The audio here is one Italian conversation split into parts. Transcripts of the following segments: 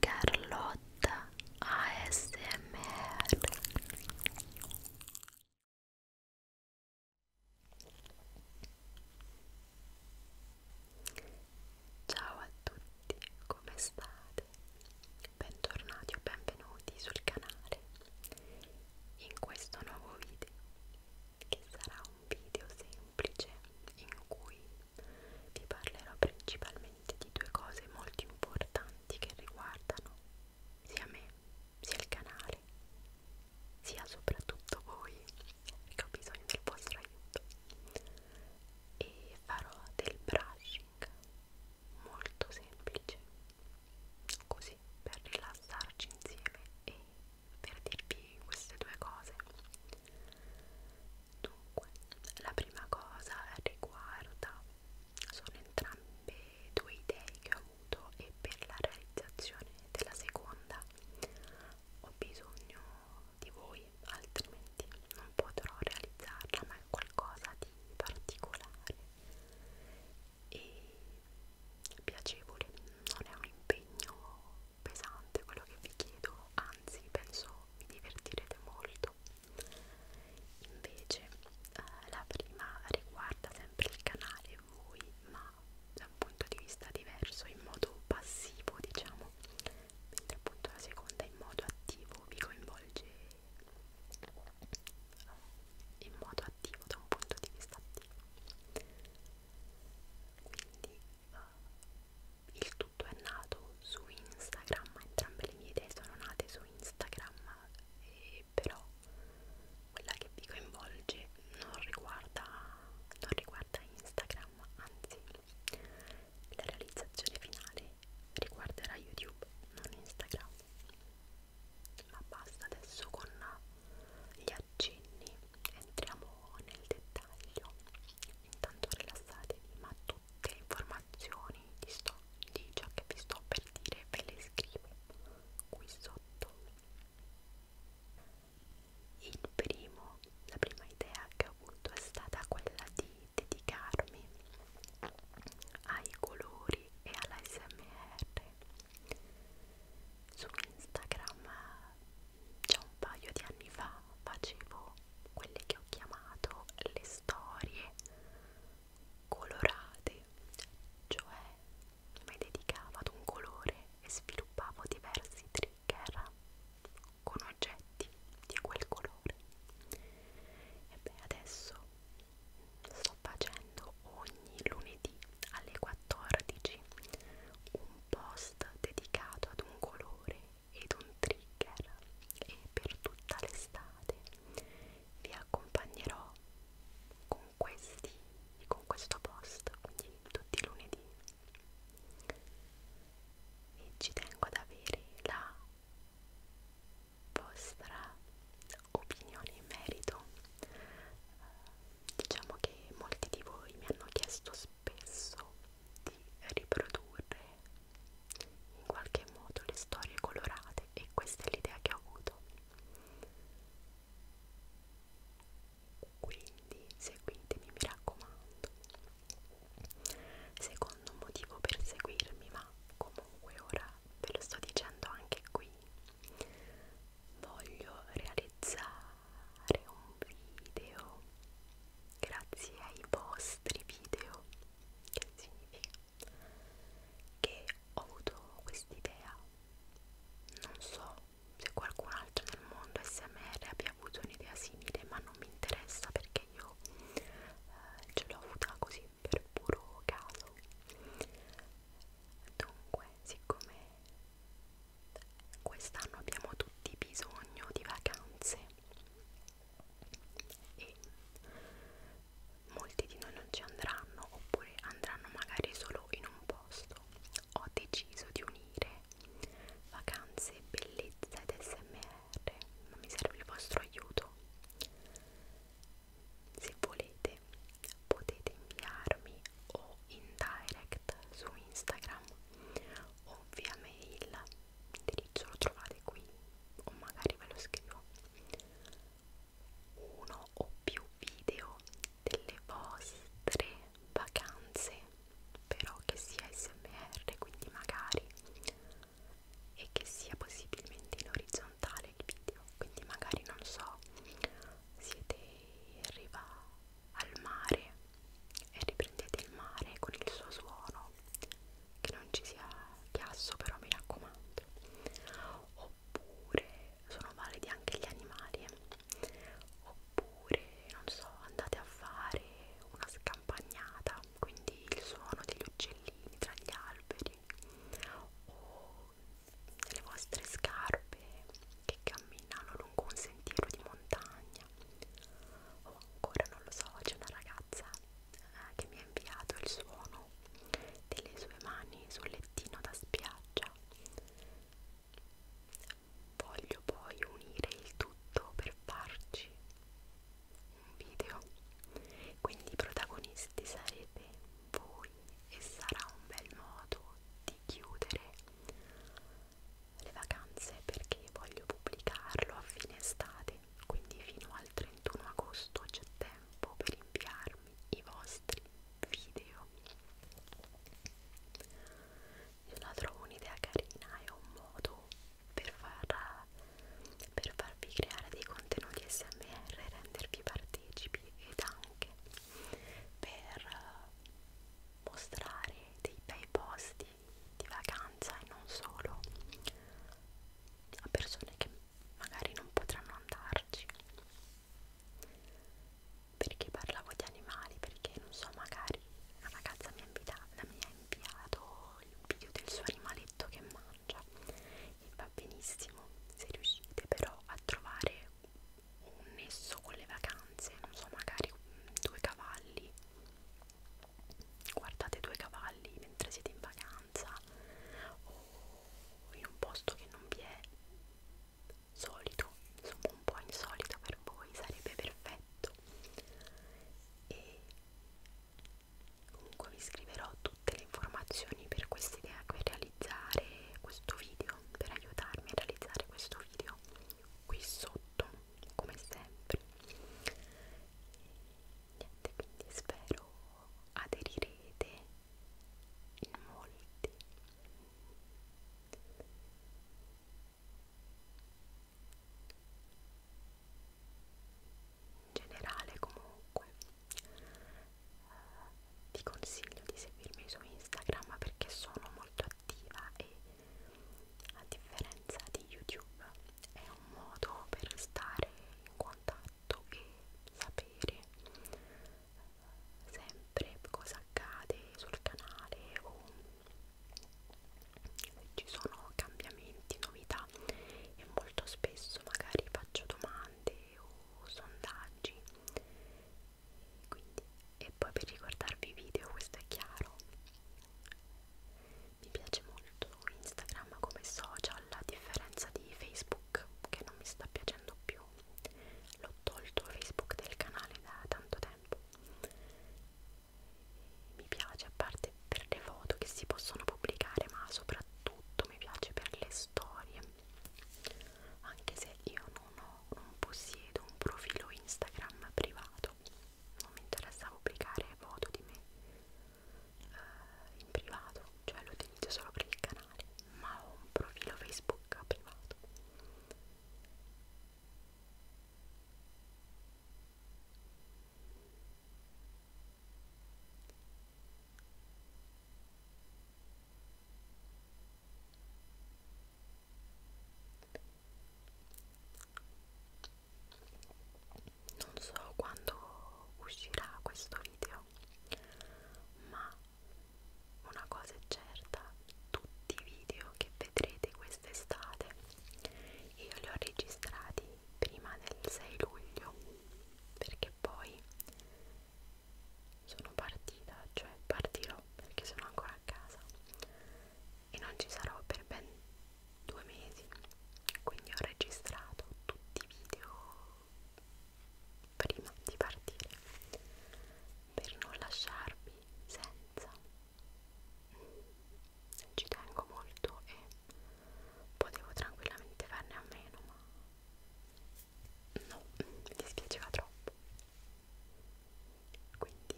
Carlotta ASMR Ciao a tutti, come state? Bentornati o benvenuti sul canale in questo nuovo video che sarà un video semplice in cui vi parlerò principalmente di due cose molto importanti che riguardano sia me, sia il canale, sia soprattutto voi che ho bisogno del vostro aiuto e farò del brushing molto semplice così per rilassarci insieme e per dirvi queste due cose dunque la prima cosa riguarda sono entrambe due idee che ho avuto e per la realizzazione della seconda ho bisogno di voi altrimenti non potrò realizzarla ma è qualcosa di particolare e piacevole, non è un impegno pesante quello che vi chiedo, anzi penso vi divertirete molto. Invece eh, la prima riguarda sempre il canale voi, ma da un punto di vista diverso, in modo passivo diciamo, mentre appunto la seconda in modo attivo vi coinvolge eh, in modo attivo da un punto di vista attivo quindi uh, il tutto è nato su Instagram entrambe le mie idee sono nate su Instagram e eh, però quella che vi coinvolge non riguarda, non riguarda Instagram anzi la realizzazione finale riguarderà YouTube non Instagram ma basta adesso con gli accenni entriamo nel dettaglio intanto rilassatevi ma tutte le informazioni di, sto, di ciò che vi sto per dire ve le scrivo qui sotto il primo la prima idea che ho avuto è stata quella di dedicarmi ai colori e all'ASMR su Instagram già un paio di anni fa facevo quelle che ho chiamato le storie colorate cioè mi dedicavo ad un colore e sviluppavo diversi trigger con oggetti di quel colore e beh adesso sto facendo ogni lunedì alle 14 un post dedicato ad un colore ed un trigger e per tutta l'estate vi accompagnerò con questi con questo post quindi tutti i lunedì e ci tengo ad avere la vostra opinioni in merito diciamo che molti di voi mi hanno chiesto spesso di riprodurre in qualche modo le storie colorate e questa è l'idea che ho avuto quindi seguitemi mi raccomando secondo motivo per seguirmi ma comunque ora ve lo sto dicendo anche qui voglio realizzare un video grazie ai vostri video che significa che ho avuto quest'idea non so se qualcun altro nel mondo smr abbia avuto un'idea simile ma non mi interessa perché io eh, ce l'ho avuta così per puro caso Dunque, siccome quest'anno abbiamo tutti bisogno di vacanze e molti di noi non ci andranno oppure andranno magari solo in un posto, ho deciso di unire vacanze, bellezza ed smr, ma mi serve il vostro aiuto se volete potete inviarmi o in direct su Instagram o via mail, l'indirizzo lo trovate qui o magari ve lo scrivo uno o più video delle vostre vacanze però che sia smr quindi magari e che sia possibilmente in orizzontale orizzontale il video quindi magari non so siete in riva al mare e riprendete il mare con il suo suono che non ci sia chiasso però mi raccomando oppure sono validi anche gli animali eh. oppure non so andate a fare una scampagnata quindi il suono degli uccellini tra gli alberi o le vostre scarpe che camminano lungo un sentiero di montagna o oh, ancora non lo so, c'è una ragazza eh, che mi ha inviato il suono delle sue mani sul lettino da spiaggia voglio poi unire il tutto per farci un video quindi i protagonisti sarete voi e sarà un bel modo di chiudere le vacanze perché voglio pubblicarlo a fine estate, quindi fino al 31 agosto c'è tempo per inviarmi i vostri video. Io la trovo un'idea carina, è un modo per, far, per farvi creare dei contenuti SMR e rendervi partecipi tempi ed anche per eh, mostrare dei bei posti di vacanza e non solo a persone che magari non potranno andarci perché parlavo di animali perché non so magari una ragazza mi ha, invitato, mi ha inviato il video del suo animaletto che mangia va benissimo se riuscite però a trovare un nesso con le vacanze non so magari due cavalli guardate due cavalli mentre siete in vacanza o in un posto che non vi è solito insomma un po' insolito per voi sarebbe perfetto e comunque vi scriverò tutte le informazioni per questa idea che ho realizzato realizzare questo video, per aiutarmi a realizzare questo video qui sotto, come sempre. Niente, quindi spero aderirete in molti. In generale comunque ti consiglio di seguirmi su Instagram perché sono molto attiva e a differenza di YouTube è un modo per stare in contatto e sapere sempre cosa accade sul canale o se ci sono cambiamenti, novità e molto spesso magari faccio domande domande o sondaggi quindi, e poi per ricordarvi i video questo è chiaro mi piace molto Instagram come social a differenza di Facebook che non mi sta piacendo più l'ho tolto Facebook del canale da tanto tempo mi piace a parte per le foto che si possono pubblicare ma soprattutto mi piace per le storie anche se io non, ho, non possiedo un profilo Instagram privato, non mi interessa pubblicare foto di me eh, in privato, cioè lo utilizzo solo per il canale, ma ho un profilo Facebook privato. Non so quando uscirà questo video, ma una cosa è certa, tutti i video che vedrete quest'estate io li ho registrati prima del 6 luglio perché poi sono partita, cioè partirò perché sono ancora a casa e non ci sarò per ben due mesi, quindi ho registrato tutti i video prima di partire per non lasciarvi senza. Ci tengo molto e potevo tranquillamente farne a meno ma no, mi dispiaceva troppo quindi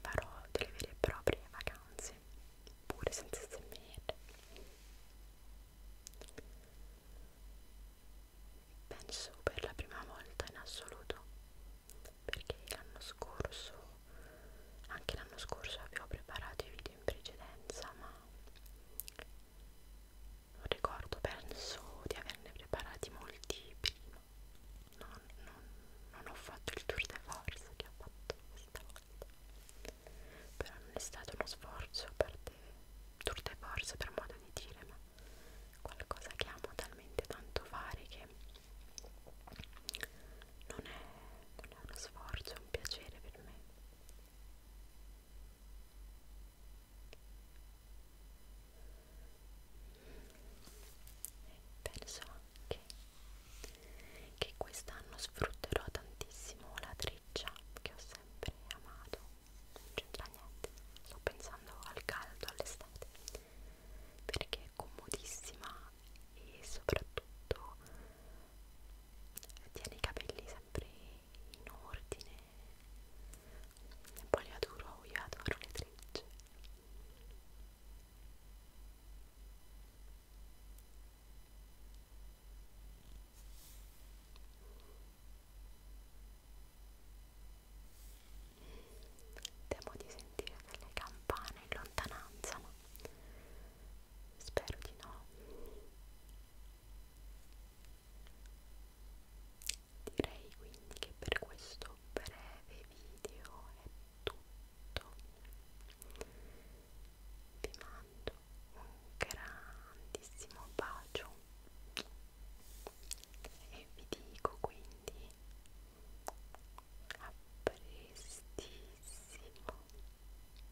farò delle vere e proprie vacanze pure senza smr penso per la prima volta in assoluto perché l'anno scorso anche l'anno scorso avevo preparato i video in precedenza ma ricordo penso di averne preparati molti prima non, non, non ho fatto il tour de force che ho fatto questa volta però non è stato uno sforzo per te tour de force per modo di dire ma qualcosa che amo talmente tanto fare che non è, non è uno sforzo, è un piacere per me penso anche che quest'anno sfrutterò tantissimo la treccia che ho sempre amato non c'entra niente sto pensando al caldo all'estate perché è comodissima e soprattutto tiene i capelli sempre in ordine e poi le adoro, io adoro le trecce Temo di sentire delle campane in lontananza, ma Spero di no. Direi quindi che per questo breve video è tutto. Vi mando un grandissimo bacio e vi dico quindi a prestissimo.